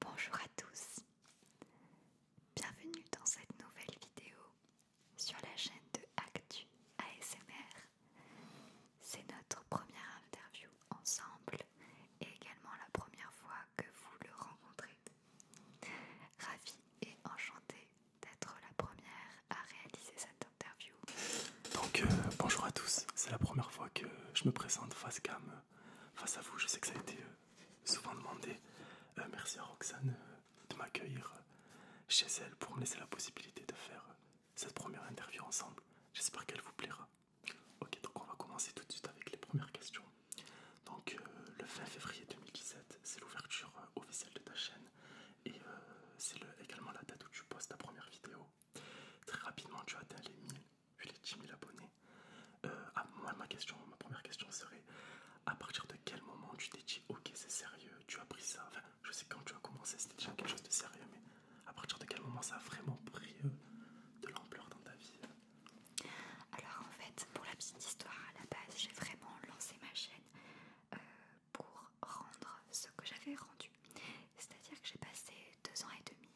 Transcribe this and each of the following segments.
Bonjour à tous, bienvenue dans cette nouvelle vidéo sur la chaîne de Actu ASMR. C'est notre première interview ensemble et également la première fois que vous le rencontrez. Ravi et enchanté d'être la première à réaliser cette interview. Donc euh, bonjour à tous, c'est la première fois que je me présente face cam, euh, face à vous, je sais que ça a été euh, souvent demandé. merci à Roxane de m'accueillir chez elle pour me laisser la possibilité de faire cette première interview ensemble. J'espère qu'elle vous plaira. Ok, donc on va commencer tout de suite avec les premières questions. Donc le 20 février 2017, c'est l'ouverture officielle de ta chaîne et euh, c'est également la date où tu postes ta première vidéo. Très rapidement, tu atteint les 1000, les 10 000 abonnés. Euh, ah, moi, ma question, ma première question serait à partir de quel moment tu t'es dit ok c'est sérieux, tu as pris ça, je sais quand tu as commencé c'était déjà quelque chose de sérieux mais à partir de quel moment ça a vraiment pris euh, de l'ampleur dans ta vie Alors en fait pour la petite histoire à la base j'ai vraiment lancé ma chaîne pour rendre ce que j'avais rendu. C'est-à-dire que j'ai passé deux ans et demi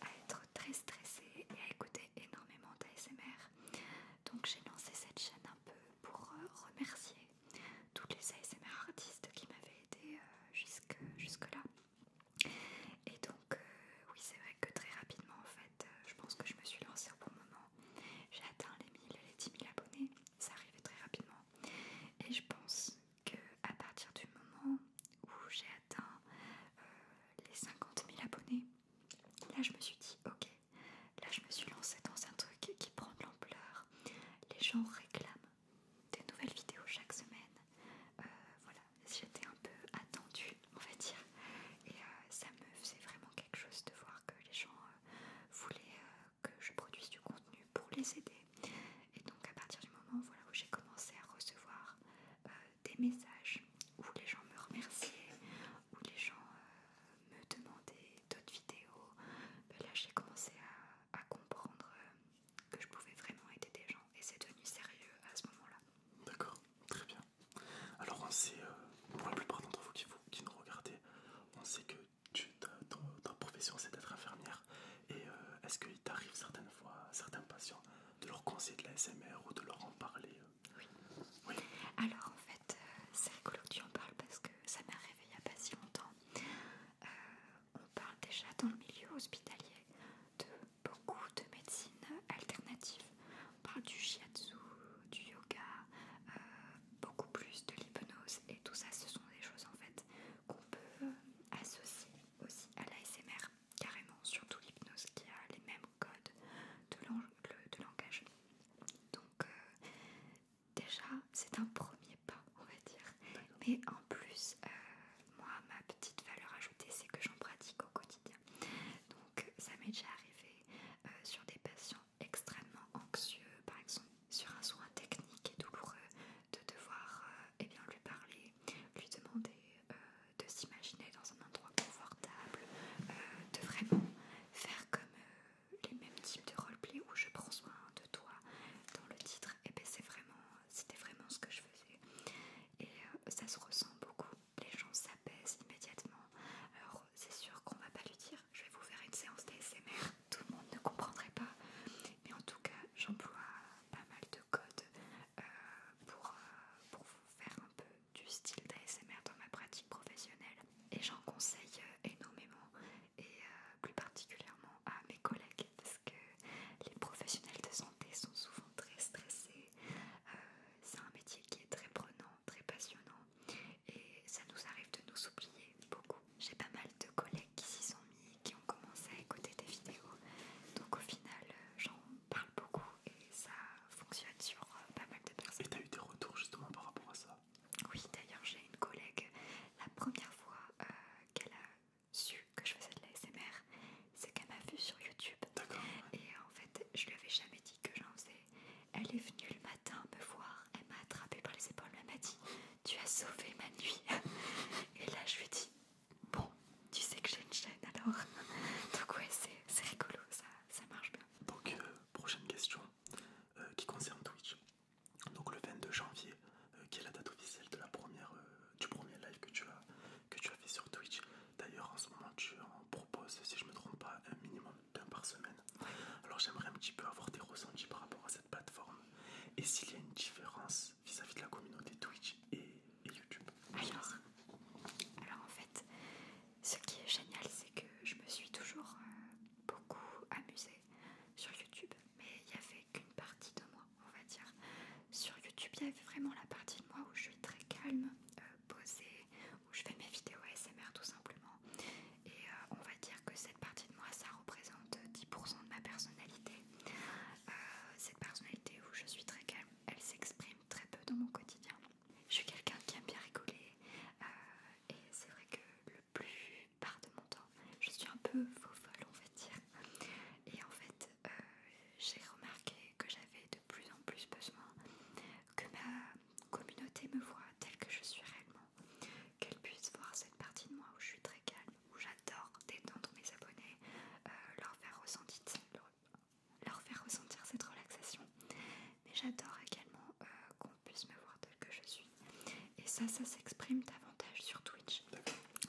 à être très stressée et à écouter énormément d'ASMR. Donc j'ai lancé cette chaîne un peu pour euh, remercier toutes les ASMR artistes qui m'avaient aidé euh, jusque, là. Et donc euh, oui c'est vrai que très rapidement en fait je pense que je me suis lancée au bon moment j'ai atteint les 1000 les 10 000 abonnés, ça arrivait très rapidement. Et je pense que à partir du moment où j'ai atteint euh, les 50 000 abonnés, là je me suis dit ok, là je me suis lancée dans un truc qui prend de l'ampleur. Les gens réclament des nouvelles vidéos chaque semaine. Euh, voilà, j'étais un peu attendue, on va dire. Et euh, ça me faisait vraiment quelque chose de voir que les gens euh, voulait voulaient euh, que je produise du contenu pour les aider. Et donc à partir du moment où j'ai commencé à recevoir euh, des messages où les gens me remerciaient, où les gens me demandaient d'autres vidéos, ben là j'ai commencé à, comprendre que je pouvais vraiment aider des gens et c'est devenu sérieux à ce moment-là. D'accord, très bien. Alors on sait, euh, pour la plupart d'entre vous qui, nous regardez, on sait que ta, profession c'est d'être infirmière. Et euh, est-ce qu'il t'arrive certaines fois certains patients de leur conseiller de la SMR ou de leur en parler euh Oui. Alors en fait, c'est rigolo que tu en parles parce que ça m'est arrivé il n'y a pas si longtemps. on parle déjà dans le milieu hospitalier de beaucoup de médecines alternatives on parle du shiatsu, du yoga, euh, beaucoup plus de l'hypnose et tout ça, ce sont des choses en fait qu'on peut euh, associer aussi à l'ASMR, carrément, surtout l'hypnose qui a les mêmes codes de, de langage. Donc euh, déjà, c'est un premier pas, on va dire. Mais en plus, moi, ma petite valeur ajoutée, c'est que j'en pratique au quotidien. Donc ça m'est déjà arrivé euh, sur des patients extrêmement anxieux, par exemple sur un soin technique et douloureux, de devoir euh, eh bien, lui parler, lui demander euh, de s'imaginer dans un endroit confortable, de vraiment faire comme les mêmes types de roleplay où je prends soin de toi dans le titre, et eh ben, vraiment, c'était vraiment ce que je faisais. Et ça se ressent beaucoup les gens s'apaisent immédiatement. Alors c'est sûr qu'on va pas lui dire je vais vous faire une séance d'ASMR, tout le monde ne comprendrait pas. Mais en tout cas j'emploie pas mal de codes euh, pour, euh, pour vous faire un peu du style d'ASMR dans ma pratique professionnelle. Et j'en conseille euh, énormément et plus particulièrement à mes collègues parce que les professionnels de santé sont souvent très stressés c'est un métier qui est très prenant, très passionnant et ça nous arrive de nous oublier beaucoup. J'ai pas mal de collègues qui s'y sont mis, qui ont commencé à écouter des vidéos, donc au final euh, j'en parle beaucoup et ça fonctionne sur euh, pas mal de personnes. Et t'as eu des retours justement par rapport à ça Oui, d'ailleurs j'ai une collègue, la première fois euh, qu'elle a su que je faisais de la SMR, c'est qu'elle m'a vue sur YouTube. D'accord. Et en fait, je lui avais jamais dit que j'en sais. Elle est venue le matin me voir, elle m'a attrapée par les épaules, elle m'a dit Tu as sauvé ma nuit. Et là, je lui ai dit Bon, tu sais que j'ai une chaîne alors. Donc, ouais, c'est rigolo, ça, marche bien. Donc, euh, prochaine question euh, qui concerne Twitch. Donc, le 22 janvier, quelle euh, qui est la date officielle de la première, du premier live que tu, as, que tu as fait sur Twitch, D'ailleurs, en ce moment, tu en proposes, si je me trompe pas, un minimum d'un par semaine. Alors, j'aimerais un petit peu avoir tes ressentis par rapport à cette plateforme et s'il y a une différence vis-à-vis de la communauté Twitch et, YouTube. Alors, alors, en fait, ce qui est génial, c'est que je me suis toujours euh, beaucoup amusée sur YouTube, mais il n'y avait qu'une partie de moi, on va dire. Sur YouTube, il y avait vraiment la partie de moi où je suis très calme, euh, poser, où je fais mes vidéos ASMR tout simplement. Et euh, on va dire que cette partie de moi, ça représente 10% de ma personnalité. Euh, cette personnalité où je suis très calme, elle s'exprime très peu dans mon quotidien. Je suis quelqu'un qui aime bien rigoler euh, et c'est vrai que le plus part de mon temps, je suis un peu faux folle on va dire. Et en fait, euh, j'ai remarqué que j'avais de plus en plus besoin que ma communauté me voit telle que je suis réellement, qu'elle puisse voir cette partie de moi où je suis très calme, où j'adore détendre mes abonnés, euh, leur, faire ressentir, cette relaxation. Mais j'adore également euh, qu'on puisse me voir telle que je suis. Et ça, ça s'exprime davantage sur Twitch.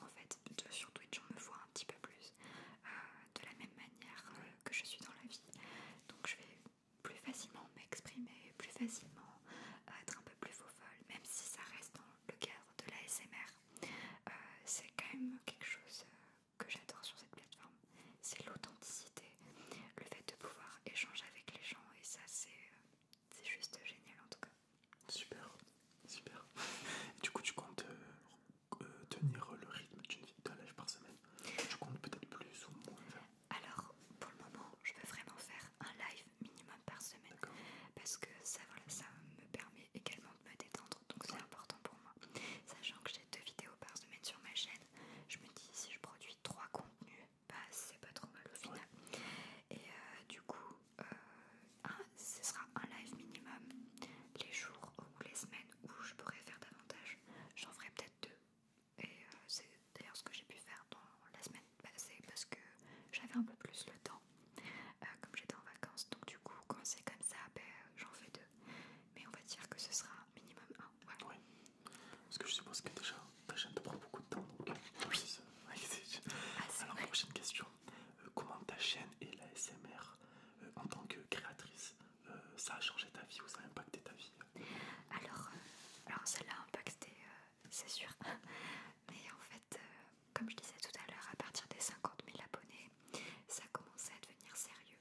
En fait, euh, sur Twitch, on me voit un petit peu plus euh, de la même manière euh, que je suis dans la vie. Donc je vais plus facilement m'exprimer, plus facilement être un peu plus faux même si ça reste dans le cadre de la SMR. c'est quand même quelque chose que j'adore sur cette plateforme, c'est l'authenticité, le fait de pouvoir échanger avec les gens et ça c'est juste génial en tout cas. Super, super. du coup tu comptes euh, tenir le rythme d'un live par semaine Tu comptes peut-être plus ou moins Alors, pour le moment, je veux vraiment faire un live minimum par semaine parce que ça, ça me permet également de me détendre, donc c'est important pour moi. Sachant que j'ai deux vidéos par semaine sur ma chaîne, je me dis si je produis trois contenus, bah, c'est pas trop mal au final. Et euh, du coup, euh, ah, ce sera un live minimum. Les jours ou les semaines où je pourrais faire davantage, j'en ferai peut-être deux. Et euh, c'est d'ailleurs ce que j'ai pu faire dans la semaine passée parce que j'avais un peu plus le temps, euh, comme j'étais en vacances. Donc du coup, quand c'est comme ça, ben, j'en fais deux. Mais on va dire que ce sera minimum un. Ouais. Parce que je suppose que déjà ta chaîne te prend beaucoup de temps. Donc... Euh, oui. oui. Ah, Alors prochaine question. Euh, comment ta chaîne et la SMR euh, en tant que créatrice, euh, ça a changé ta vie ou ça a impacté ta vie Alors, alors ça l'a impacté, c'est sûr. Mais en fait, comme je disais tout à l'heure, à partir des 50 000 abonnés, ça commençait à devenir sérieux.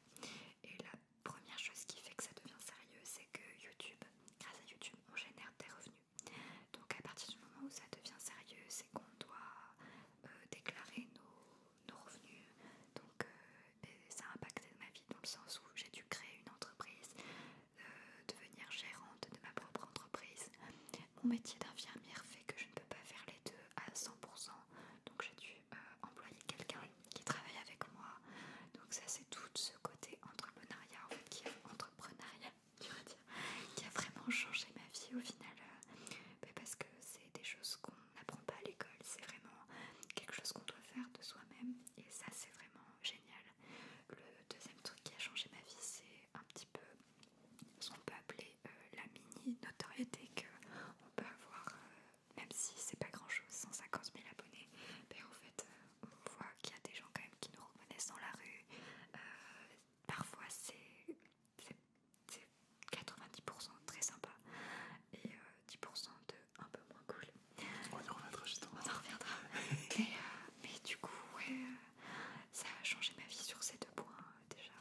Et la première chose qui fait que ça devient sérieux, c'est que YouTube, grâce à YouTube, on génère des revenus. Donc à partir du moment où ça devient sérieux, c'est qu'on doit euh, déclarer nos, revenus. Donc euh, ça a impacté ma vie dans le sens où j'ai dû créer une entreprise, euh, devenir gérante de ma propre entreprise. Mon métier d'infirmière fait que je ne peux pas faire les deux à 100%. Donc j'ai dû employer quelqu'un qui travaille avec moi. Donc ça c'est tout ce côté entrepreneuriat qui est entrepreneuriat qui a vraiment changé ma vie au final. Euh, bah, parce que c'est des choses qu'on n'apprend pas à l'école, c'est vraiment quelque chose qu'on doit faire de soi-même et ça c'est vraiment génial. Le deuxième truc qui a changé ma vie, c'est un petit peu ce qu'on peut appeler euh, la mini notoriété que on peut avoir, euh, même si c'est pas grand chose, 150 000 abonnés. Mais en fait, on voit qu'il y a des gens quand même qui nous reconnaissent dans la rue. parfois, c'est c'est 90% très sympa et 10% euh, de un peu moins cool. On y reviendra justement. On reviendra. Euh, mais, du coup, euh, ça a changé ma vie sur ces deux points déjà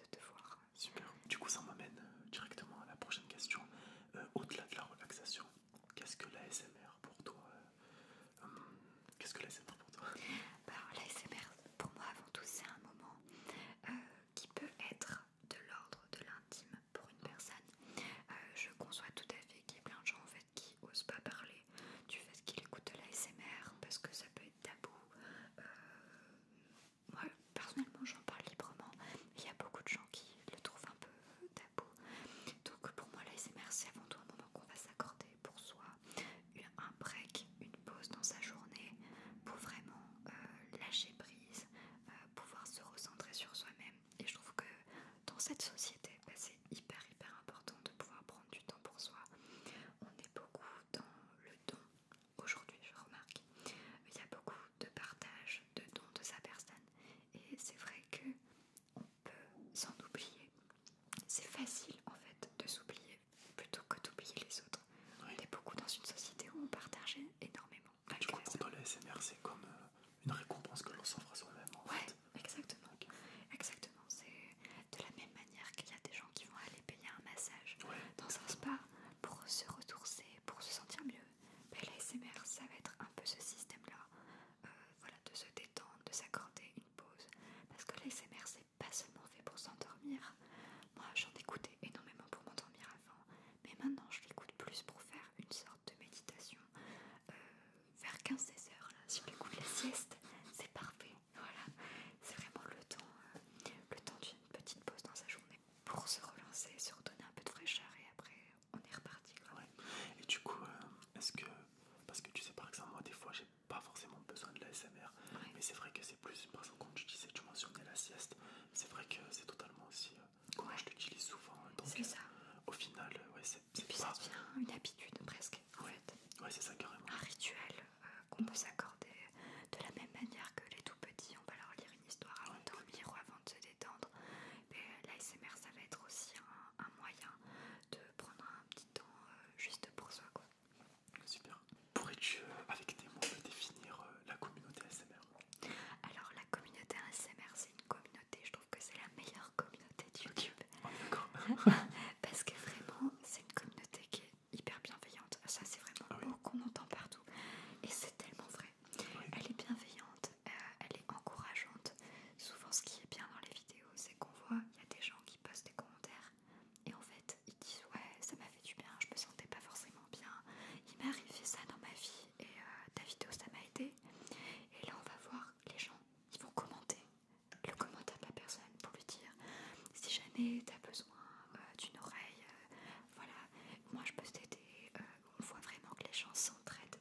de te voir. Super. Du coup, ça m'amène directement à la prochaine question. Au-delà de la relaxation, qu'est-ce que l'ASMR pour toi Qu'est-ce que l'ASMR pour toi bah, l'ASMR, pour moi, avant tout, c'est un moment euh, qui peut être de l'ordre de l'intime pour une personne. Euh, je conçois tout à fait qu'il y ait plein de gens en fait qui osent pas parler du fait qu'ils écoutent de l'ASMR parce que ça peut être tabou. Euh, moi, personnellement, j'en parle librement. Il y a beaucoup de gens qui le trouvent un peu tabou. Donc, pour moi, l'ASMR, c'est avant tout un moment qu'on va s'accorder pour soi un break, une pause dans sa journée pour vraiment euh, lâcher prise, euh, pouvoir se recentrer sur soi-même. Et je trouve que dans cette société, bah, c'est hyper hyper important de pouvoir prendre du temps pour soi. On est beaucoup dans le don aujourd'hui, je remarque. Il y a beaucoup de partage, de don de sa personne. Et c'est vrai que peut s'en oublier. C'est facile en fait de s'oublier plutôt que d'oublier les autres. il On est beaucoup dans une société où on partage énormément. Du coup, pour le SMR c'est comme euh, une récompense que l'on s'offre à soi-même. en fait. exactement. Exactement. C'est de la même manière qu'il y a des gens qui vont aller payer un massage dans un spa pour se ressourcer, pour se sentir mieux. Mais SMR ça va être un peu ce système-là. Euh, voilà, de se détendre, de s'accorder pause. Parce que l'ASMR, c'est pas seulement fait pour s'endormir. Moi, j'en écoutais énormément pour m'endormir avant. Mais maintenant, je l'écoute plus pour faire une sorte de méditation. Euh, vers 15-16 heures, si sur le coup la sieste, c'est parfait. Voilà, c'est vraiment le temps, euh, le temps d'une petite pause dans sa journée pour se relancer, se redonner un peu de fraîcheur et après on est reparti. Et du coup, euh, est-ce que parce que tu sais par exemple moi des fois j'ai pas forcément besoin de la SMR, mais c'est vrai que c'est plus, par exemple, quand tu disais, tu mentionnais la sieste, c'est vrai que c'est totalement aussi euh, je l'utilise souvent. Hein, c'est euh, ça. Au final, euh, c'est plus ça devient une habitude presque, c'est ça carrément. Un rituel qu'on peut s'accorder de la même manière que les tout petits, on va leur lire une histoire avant de dormir ou avant de se détendre. Mais l'ASMR, ça va être aussi un, un moyen de prendre un petit euh, juste pour soi quoi. Super. Pourrais-tu euh, avec tes mots définir euh, la communauté ASMR Alors la communauté ASMR c'est une communauté, je trouve que c'est la meilleure communauté de YouTube. Ah, Parce que vraiment c'est une communauté qui est hyper bienveillante. Ça c'est vraiment le ah mot qu'on entend partout et c'est tellement vrai. Elle est bienveillante, elle est encourageante. Souvent ce qui est bien dans les vidéos euh, c'est qu'on voit, il y a des gens qui postent des commentaires et en fait ils disent ouais ça m'a fait du bien, je me sentais pas forcément bien, il m'est arrivé ça dans ma vie et euh, ta vidéo ça m'a aidé. Et là on va voir les gens, ils vont commenter le commentaire de la personne pour lui dire si jamais t'as besoin euh, d'une oreille, voilà, moi je peux t'aider, on voit vraiment que les gens s'entraident.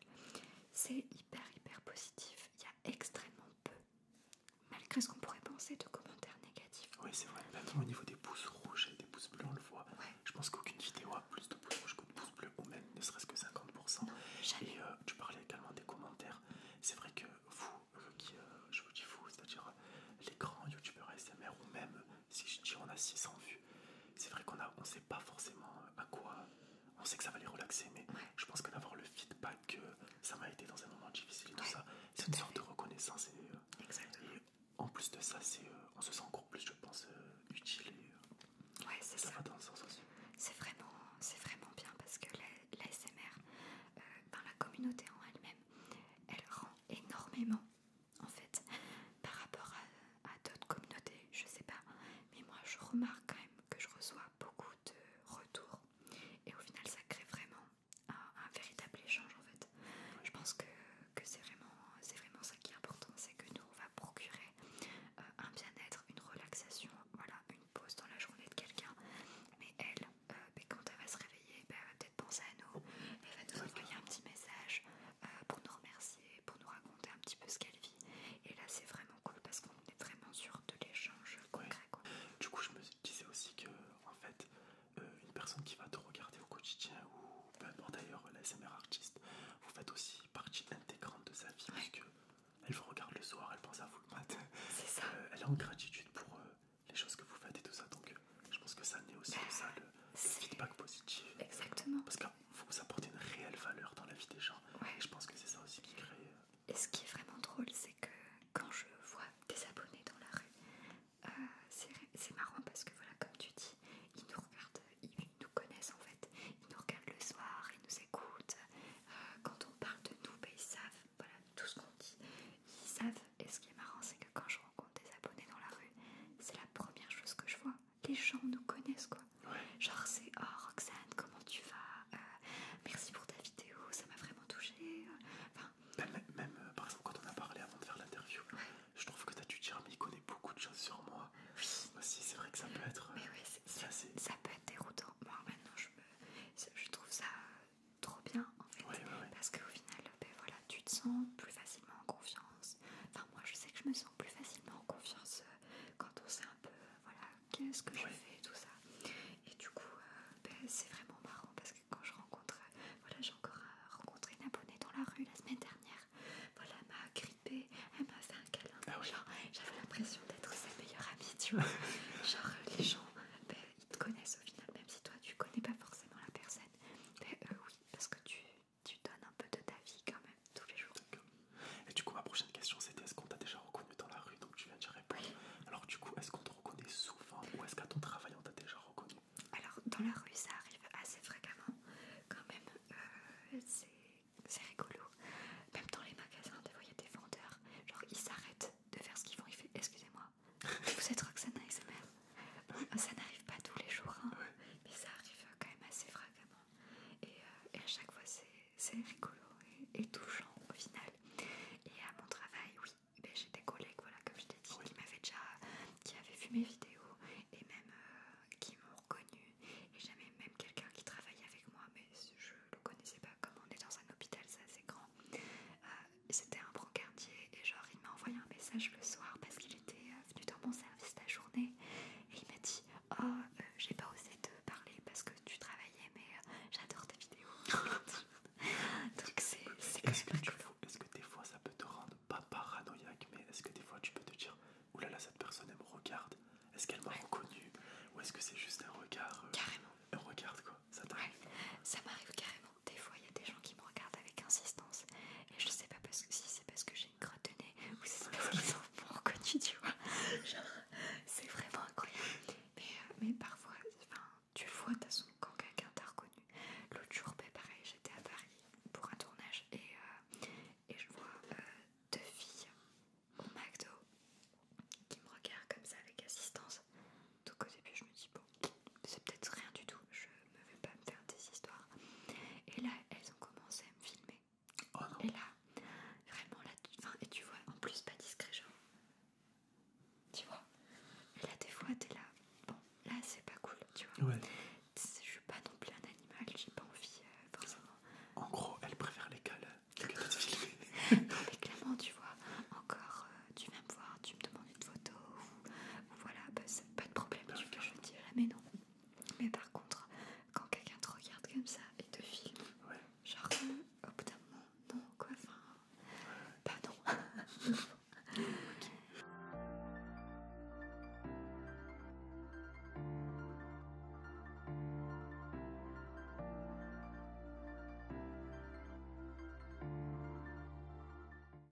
C'est hyper hyper positif il y a extrêmement peu, malgré ce qu'on pourrait penser de commentaires négatifs. Oui, c'est vrai. Maintenant, au niveau des pouces rouges et des pouces bleus, on le voit. Je pense qu'aucune vidéo a plus de pouces rouges que de pouces bleus, ou même ne serait-ce que 50%. et euh, tu parlais également des commentaires. C'est vrai que vous, euh, euh, je vous dis vous, c'est-à-dire les grands youtubeurs SMR, ou même si je dis on a 600 vues, c'est vrai qu'on on ne sait pas forcément à quoi on sait que ça va les relaxer, mais je pense que d'avoir le feedback, que euh, ça m'a été dans un moment difficile et tout ça. C'est une sorte de reconnaissance. Euh, et, en plus de ça, c'est, euh, on se sent encore plus, je pense, utile. Et, c'est ça. va C'est vraiment, bien parce que la, SMR, la communauté en elle-même, elle rend énormément en fait par rapport à, d'autres communautés. Je sais pas, mais moi je remarque que je reçois beaucoup de retours et au final ça crée vraiment un, véritable échange en fait. Je pense que, c'est vraiment, vraiment ça qui est important, c'est que nous on va procurer euh, un bien-être, une relaxation, voilà, une pause dans la journée de quelqu'un, mais elle, euh, ben, quand elle va se réveiller, ben, elle va peut-être penser à nous, elle va nous envoyer un petit message euh, pour nous remercier, pour nous raconter un petit peu ce qu'elle vit et là, c'est vraiment cool parce qu'on est vraiment sûr de l'échange concret. Du coup, je me disais aussi que, en fait, euh, une personne qui va te regarder au quotidien ou peu importe d'ailleurs l'ASMR artiste, vous faites aussi partie intégrante de sa vie parce que elle vous regarde le soir, elle pense à vous le matin. C'est ça. Euh, elle est en gratitude pour euh, les choses que vous faites et tout ça. Donc, je pense que ça naît aussi de ça le, feedback positif. Exactement vous apportez une réelle valeur dans la vie des gens. je pense que c'est ça aussi qui crée. Euh, Et ce qui est vraiment drôle, c'est que quand je vois des abonnés dans la rue, euh, c'est marrant parce que voilà, comme tu dis, ils nous regardent, ils nous connaissent en fait, ils nous regardent le soir, ils nous écoutent. Euh, quand on parle de nous, ben, ils savent voilà, tout ce qu'on dit, ils savent. Et ce qui est marrant, c'est que quand je rencontre des abonnés dans la rue, c'est la première chose que je vois les gens nous connaissent quoi. Genre c'est oh Roxane comment tu vas euh, Merci pour ta vidéo, ça m'a vraiment touché euh, même, euh, par exemple quand on a parlé avant de faire l'interview, je trouve que as dû dire mais connaît beaucoup de choses sur moi. Oui. Aussi c'est vrai que ça peut être. ça, peut être déroutant. Moi maintenant je trouve ça trop bien en fait. Parce qu'au final ben voilà, tu te sens plus facilement en confiance. Enfin moi je sais que je me sens plus facilement en confiance euh, quand on sait un peu euh, voilà qu'est-ce que je fais tout ça et du coup euh, ben, c'est vraiment marrant parce que quand je rencontre voilà j'ai encore rencontré une abonnée dans la rue la semaine dernière voilà m'a grippée elle m'a fait un câlin ah j'avais l'impression d'être sa meilleure amie tu vois genre les gens ben, ils te connaissent au final même si toi tu connais pas forcément la personne ben, oui parce que tu tu donnes un peu de ta vie quand même tous les jours. Euh, et du coup, ma prochaine question c'était est-ce qu'on t'a déjà reconnu dans la rue Donc tu viens d'y répondre. Alors, du coup, est-ce qu'on te reconnaît souvent ou est-ce qu'à ton travail on t'a déjà reconnu Alors, dans la rue, ça arrive assez fréquemment quand même. Euh, c'est rigolo. Même dans les magasins, des il y a des vendeurs. Genre, ils s'arrêtent de faire ce qu'ils font. Ils font Excusez-moi, vous êtes Roxana et bah Ça n'arrive pas tous les jours, hein. mais ça arrive quand même assez fréquemment. Euh, et, à chaque fois, c'est rigolo et, touchant au final. Et à mon travail, oui, ben, j'ai des collègues, voilà, comme je t'ai dit, qui déjà, qui avaient vu mes vidéos et même euh, qui m'ont reconnu. Et j'avais même quelqu'un qui travaillait avec moi, mais je le connaissais pas. Comme on est dans un hôpital, c'est assez grand. Euh, c'était un brancardier et genre il m'a envoyé un message le soir parce qu'il était venu dans mon service la journée et il m'a dit Oh, euh, j'ai pas osé te parler parce que tu travaillais, mais euh, j'adore tes vidéos. Donc c'est est Est-ce que, des fois ça peut te rendre pas paranoïaque, mais est-ce que des fois tu peux te dire Oulala, là là, cette personne elle me regarde Est-ce qu'elle m'a reconnue Ou est-ce que c'est juste un regard euh, Carrément. Un regarde quoi Ça t'arrive Ça m'arrive carrément. Des fois, il y a des gens qui me regardent avec insistance et je sais pas parce que si c'est parce que j'ai une crotte de nez ou si c'est parce qu'ils sont pas reconnus, tu vois. Genre, c'est vraiment incroyable. Euh, mais, parfois, enfin, tu le vois, de toute façon, quand quelqu'un t'a reconnu. L'autre jour, ben, pareil, j'étais à Paris pour un tournage et, euh, je vois euh, deux filles au McDo qui me regardent comme ça avec assistance. Donc au début, je me dis, bon, c'est peut-être rien du tout me pas me faire des histoires. Et là, elles ont commencé à me filmer. Oh et là, vraiment, là, tu, et tu vois, en plus, pas discret, genre. Tu vois là, des fois, t'es là. Bon, là, c'est pas cool, tu vois. Je suis pas non plus un animal, j'ai pas envie, euh, En gros, elles préfèrent les filmer. clairement, tu vois, encore, euh, tu vas me voir, tu me demandes de photo ou, voilà, bah, pas de problème, je je dis mais non. Mais par contre, quand quelqu'un te regarde comme ça et te filme, genre euh, au bout d'un moment, non quoi, enfin, bah non.